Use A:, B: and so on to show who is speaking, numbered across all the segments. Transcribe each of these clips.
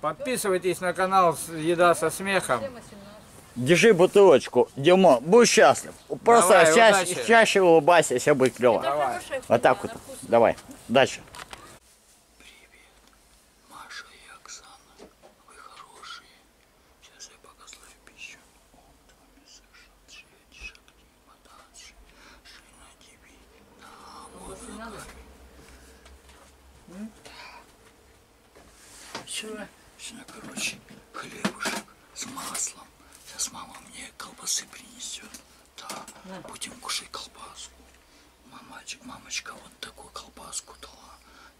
A: Подписывайтесь на канал «Еда со смехом». Держи бутылочку, Димо, будь счастлив. Просто Давай, ча удачи. чаще улыбайся, все будет клево. Давай. Вот так вот. Давай, дальше. Сейчас я пищу. Он, два, мяса, шесть, шагни, вода, шесть. Вчера, вчера, короче, хлебушек с маслом. Сейчас мама мне колбасы принесет. Да, да. будем кушать колбаску. Мамочек, мамочка вот такую колбаску дала.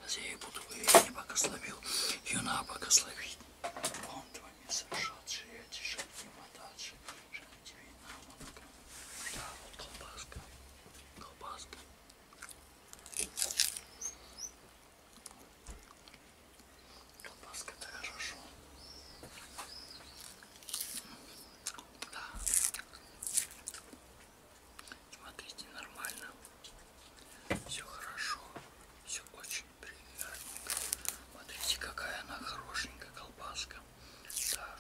A: Сейчас я ей буду, я не богословил. Ее надо богословить. Он твой не совершат, я тебе не мадачи, что тебе не надо. Да, вот колбаска. Колбаска. Колбаска это хорошо. Да. Смотрите, нормально. Все хорошо. Все очень приятно. Смотрите, какая она хорошенькая колбаска. Да.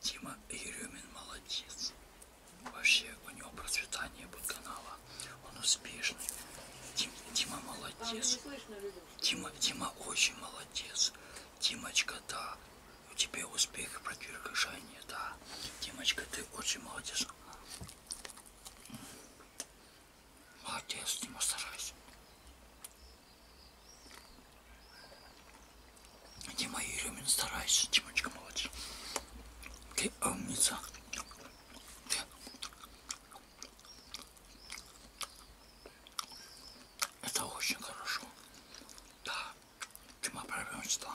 A: Тима Еремин молодец. Вообще у него процветание будет канала. Он успешный. Тим, Тима молодец. Тима, Тима очень молодец. Тимочка, да. У тебя успех и продвижение, да. Тимочка, ты очень молодец. Молодец, не старайся. Дима Еремин, старайся, Димочка, молодец. Ты умница. Ты. Это очень хорошо. Да, Дима правильно читала.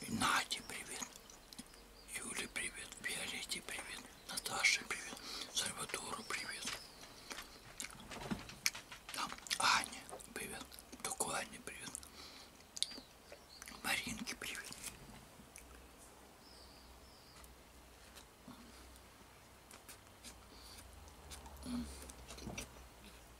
A: И Наде привет. Юле привет. Виолетте привет. Наташе привет. Сальвадору привет. Там Аня привет. Только Аня привет. Маринке привет.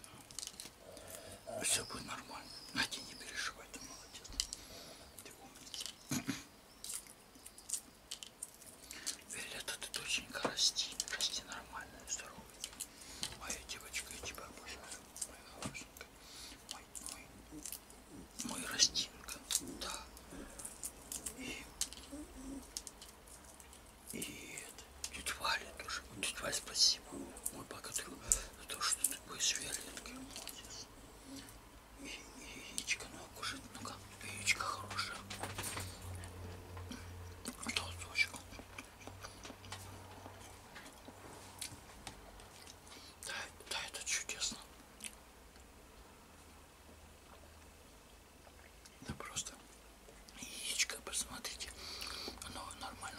A: Да. Все будет нормально. Надя, не переживай, ты молодец. Ты умница. Виолетта, ты доченька, расти. Расти нормально, здоровый. Моя девочка, я тебя обожаю. Моя хорошенькая. Мой, мой, мой растинка. Да. И и это, тетя Валя тоже. Тетя Валя, спасибо. Мой благодарю за то, что ты такой с Виоленкой. Молодец. И, и яичко, ну, кушать, ну как, яичко хорошее. Толсточек. Да, да, это чудесно. Это ну, просто яичко, посмотрите. Оно нормально.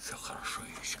A: Все хорошо, ящик.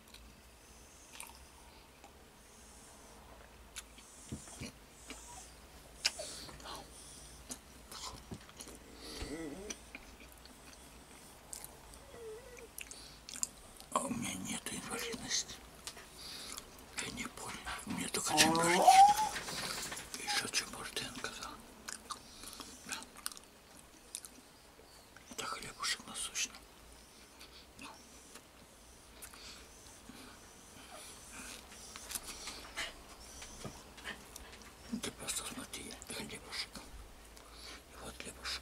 A: А у меня нет инвалидности. Я не болен. У меня только чембурчик. Еще чембуртенко, да. да. Это хлебушек насущный. Это ну, просто смотри, хлебушек. И вот хлебушек.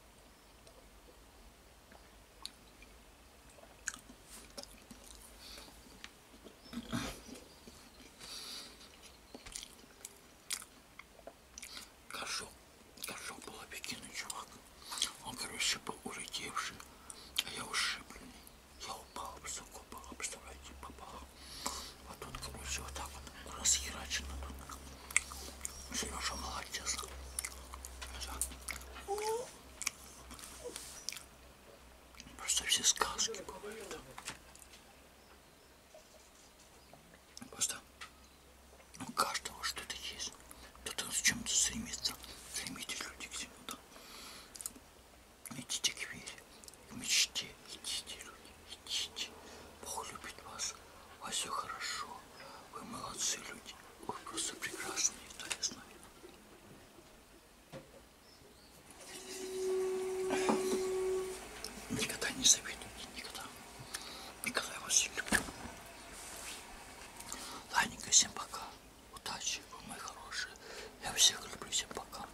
A: Кошок, кошок был обекиный чувак. Он, короче, был улетевший, а я ушибленный. Я упал, высоко упал, представляете, попал. Вот а тут как бы все вот так вот расхерачено тут. Сережа молодец. Просто все сказки бывают. Просто ну, у каждого что-то есть. Кто-то с чем-то стремится. Стремитесь люди к чему-то. Идите к вере к мечте. Идите, люди, идите. Бог любит вас. У вас все хорошо. Вы молодцы люди. Вы просто прекрасные. Да, я знаю. Никогда не завидуйте, никогда. Никогда я вас не люблю. Ладненько, всем пока. Удачи, вы мои хорошие. Я всех люблю, всем пока.